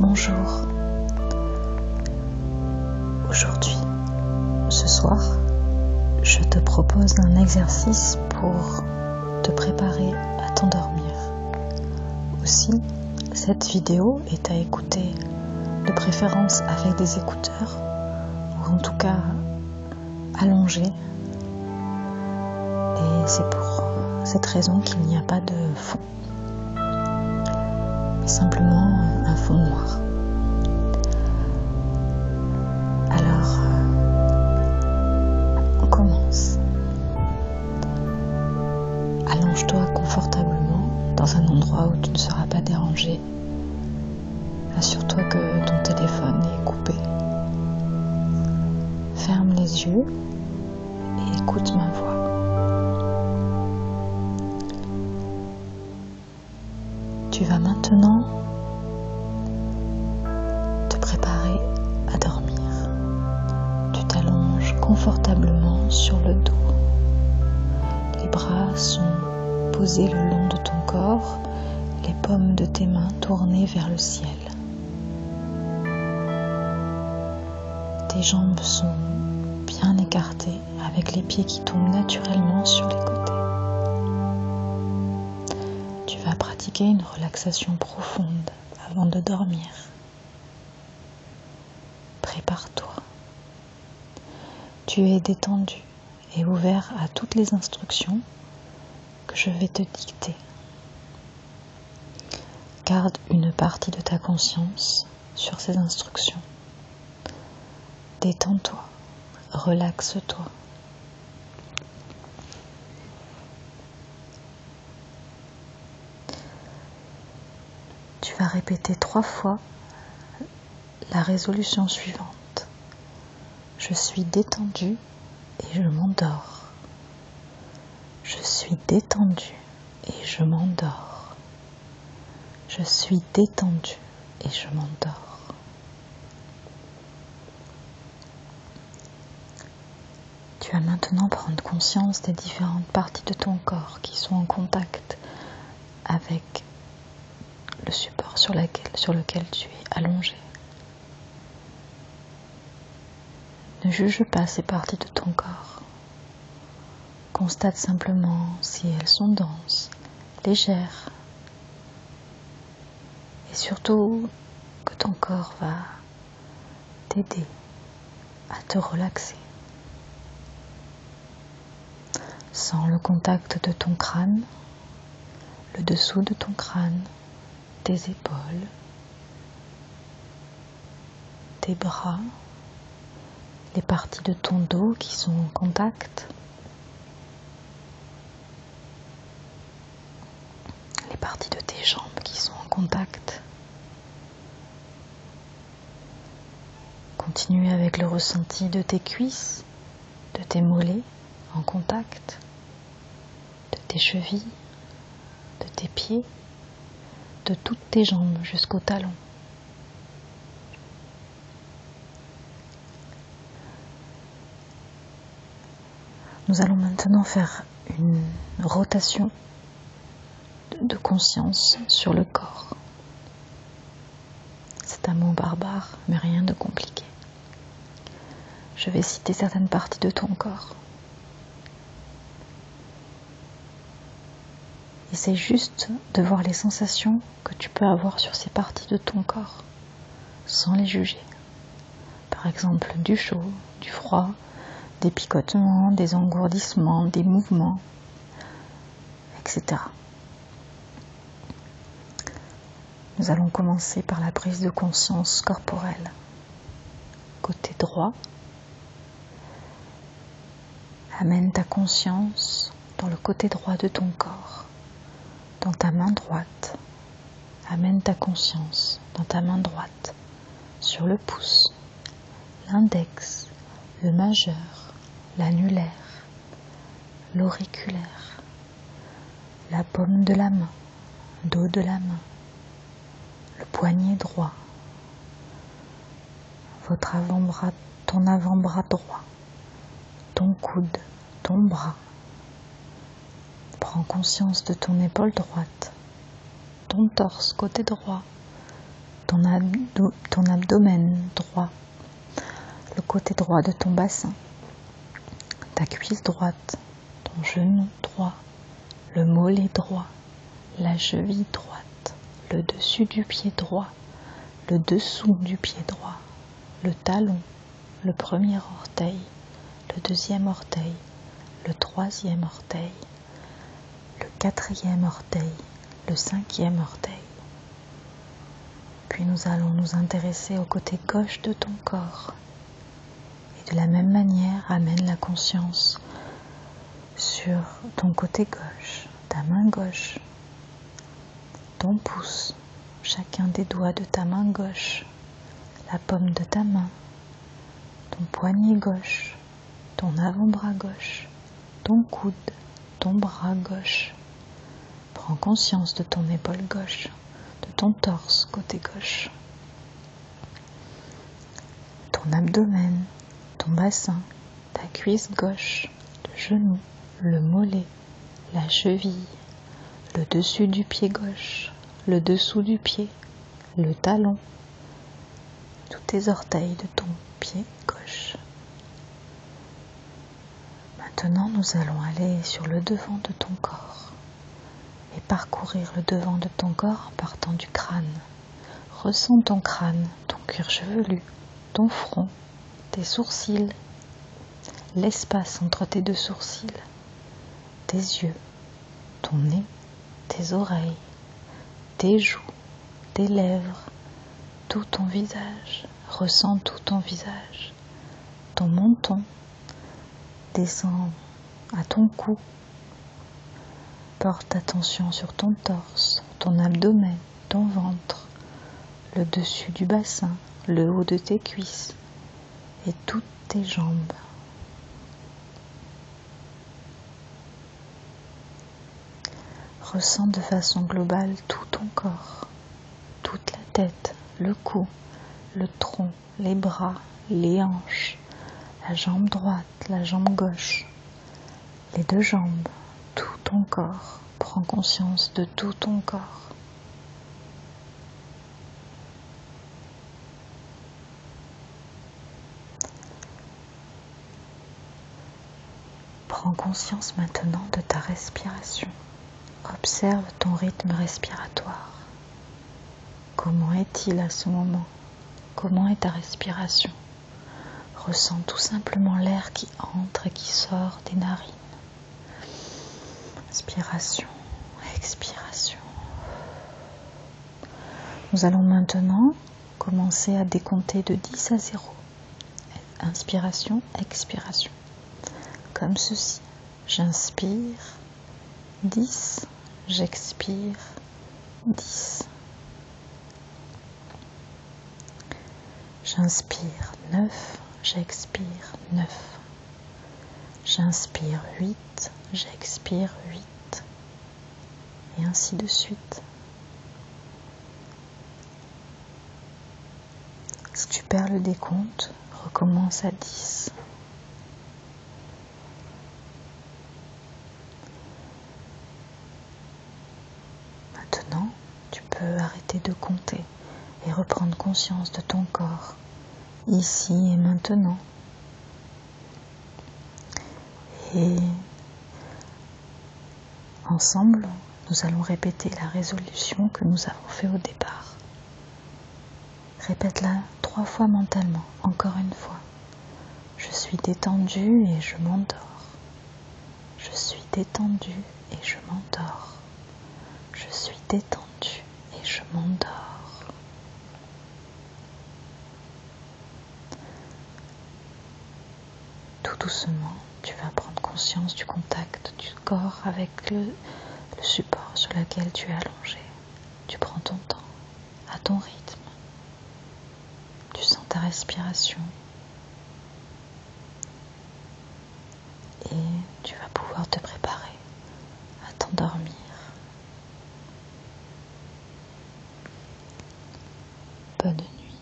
Bonjour. Aujourd'hui, ce soir, je te propose un exercice pour te préparer à t'endormir. Aussi, cette vidéo est à écouter de préférence avec des écouteurs, ou en tout cas allongé. Et c'est pour euh, cette raison qu'il n'y a pas de fond. mais Simplement euh, un fond noir. Alors, euh, on commence. Allonge-toi confortablement dans un endroit où tu ne seras pas dérangé. Assure-toi que ton téléphone est coupé. Ferme les yeux et écoute ma voix. Tu vas maintenant te préparer à dormir. Tu t'allonges confortablement sur le dos. Les bras sont posés le long de ton corps, les paumes de tes mains tournées vers le ciel. Tes jambes sont bien écartées avec les pieds qui tombent naturellement sur les côtés. Tu vas pratiquer une relaxation profonde avant de dormir. Prépare-toi. Tu es détendu et ouvert à toutes les instructions que je vais te dicter. Garde une partie de ta conscience sur ces instructions. Détends-toi, relaxe-toi. Tu vas répéter trois fois la résolution suivante. Je suis détendu et je m'endors. Je suis détendu et je m'endors. Je suis détendu et je m'endors. Tu vas maintenant prendre conscience des différentes parties de ton corps qui sont en contact avec le support sur, sur lequel tu es allongé. Ne juge pas ces parties de ton corps. Constate simplement si elles sont denses, légères. Et surtout que ton corps va t'aider à te relaxer. Sans le contact de ton crâne, le dessous de ton crâne, tes épaules, tes bras, les parties de ton dos qui sont en contact, les parties de tes jambes qui sont en contact. Continue avec le ressenti de tes cuisses, de tes mollets en contact, de tes chevilles, de tes pieds, de toutes tes jambes jusqu'au talons. Nous allons maintenant faire une rotation de conscience sur le corps. C'est un mot barbare, mais rien de compliqué. Je vais citer certaines parties de ton corps. Essaye juste de voir les sensations que tu peux avoir sur ces parties de ton corps, sans les juger. Par exemple, du chaud, du froid, des picotements, des engourdissements, des mouvements, etc. Nous allons commencer par la prise de conscience corporelle. Côté droit, amène ta conscience dans le côté droit de ton corps, dans ta main droite. Amène ta conscience dans ta main droite, sur le pouce, l'index, le majeur, l'annulaire, l'auriculaire, la paume de la main, dos de la main, le poignet droit, votre avant-bras, ton avant-bras droit, ton coude, ton bras. Prends conscience de ton épaule droite, ton torse côté droit, ton, ton abdomen droit, le côté droit de ton bassin, ta cuisse droite ton genou droit, le mollet droit, la cheville droite, le dessus du pied droit, le dessous du pied droit, le talon, le premier orteil, le deuxième orteil, le troisième orteil, le quatrième orteil, le cinquième orteil. Puis nous allons nous intéresser au côté gauche de ton corps, et de la même manière amène la conscience sur ton côté gauche, ta main gauche, ton pouce, chacun des doigts de ta main gauche, la paume de ta main, ton poignet gauche, ton avant-bras gauche, ton coude, ton bras gauche, Prends conscience de ton épaule gauche, de ton torse côté gauche, ton abdomen, ton bassin, ta cuisse gauche, le genou, le mollet, la cheville, le dessus du pied gauche, le dessous du pied, le talon, tous tes orteils de ton pied gauche. Maintenant, nous allons aller sur le devant de ton corps et parcourir le devant de ton corps partant du crâne. Ressens ton crâne, ton cuir chevelu, ton front, tes sourcils, l'espace entre tes deux sourcils, tes yeux, ton nez, tes oreilles, tes joues, tes lèvres, tout ton visage. Ressens tout ton visage, ton menton, Descends à ton cou. Porte attention sur ton torse, ton abdomen, ton ventre, le dessus du bassin, le haut de tes cuisses et toutes tes jambes. Ressens de façon globale tout ton corps toute la tête, le cou, le tronc, les bras, les hanches, la jambe droite, la jambe gauche, les deux jambes, tout ton corps. Prends conscience de tout ton corps. Prends conscience maintenant de ta respiration. Observe ton rythme respiratoire. Comment est-il à ce moment Comment est ta respiration Ressens tout simplement l'air qui entre et qui sort des narines. Inspiration, expiration. Nous allons maintenant commencer à décompter de 10 à 0. Inspiration, expiration. Comme ceci j'inspire, 10, j'expire, 10. J'inspire 9, j'expire 9. J'inspire 8, j'expire 8. Et ainsi de suite. Si tu perds le décompte, recommence à 10. Maintenant, tu peux arrêter de compter et reprendre conscience de ton corps, ici et maintenant. Et ensemble, nous allons répéter la résolution que nous avons fait au départ. Répète-la trois fois mentalement, encore une fois. Je suis détendu et je m'endors. Je suis détendu et je m'endors. Je suis détendu et je m'endors. Tout doucement, tu vas prendre conscience du contact du corps avec le, support sur lequel tu es allongé. Tu prends ton temps, à ton rythme. Tu sens ta respiration. Et tu vas pouvoir te préparer à t'endormir. Bonne nuit.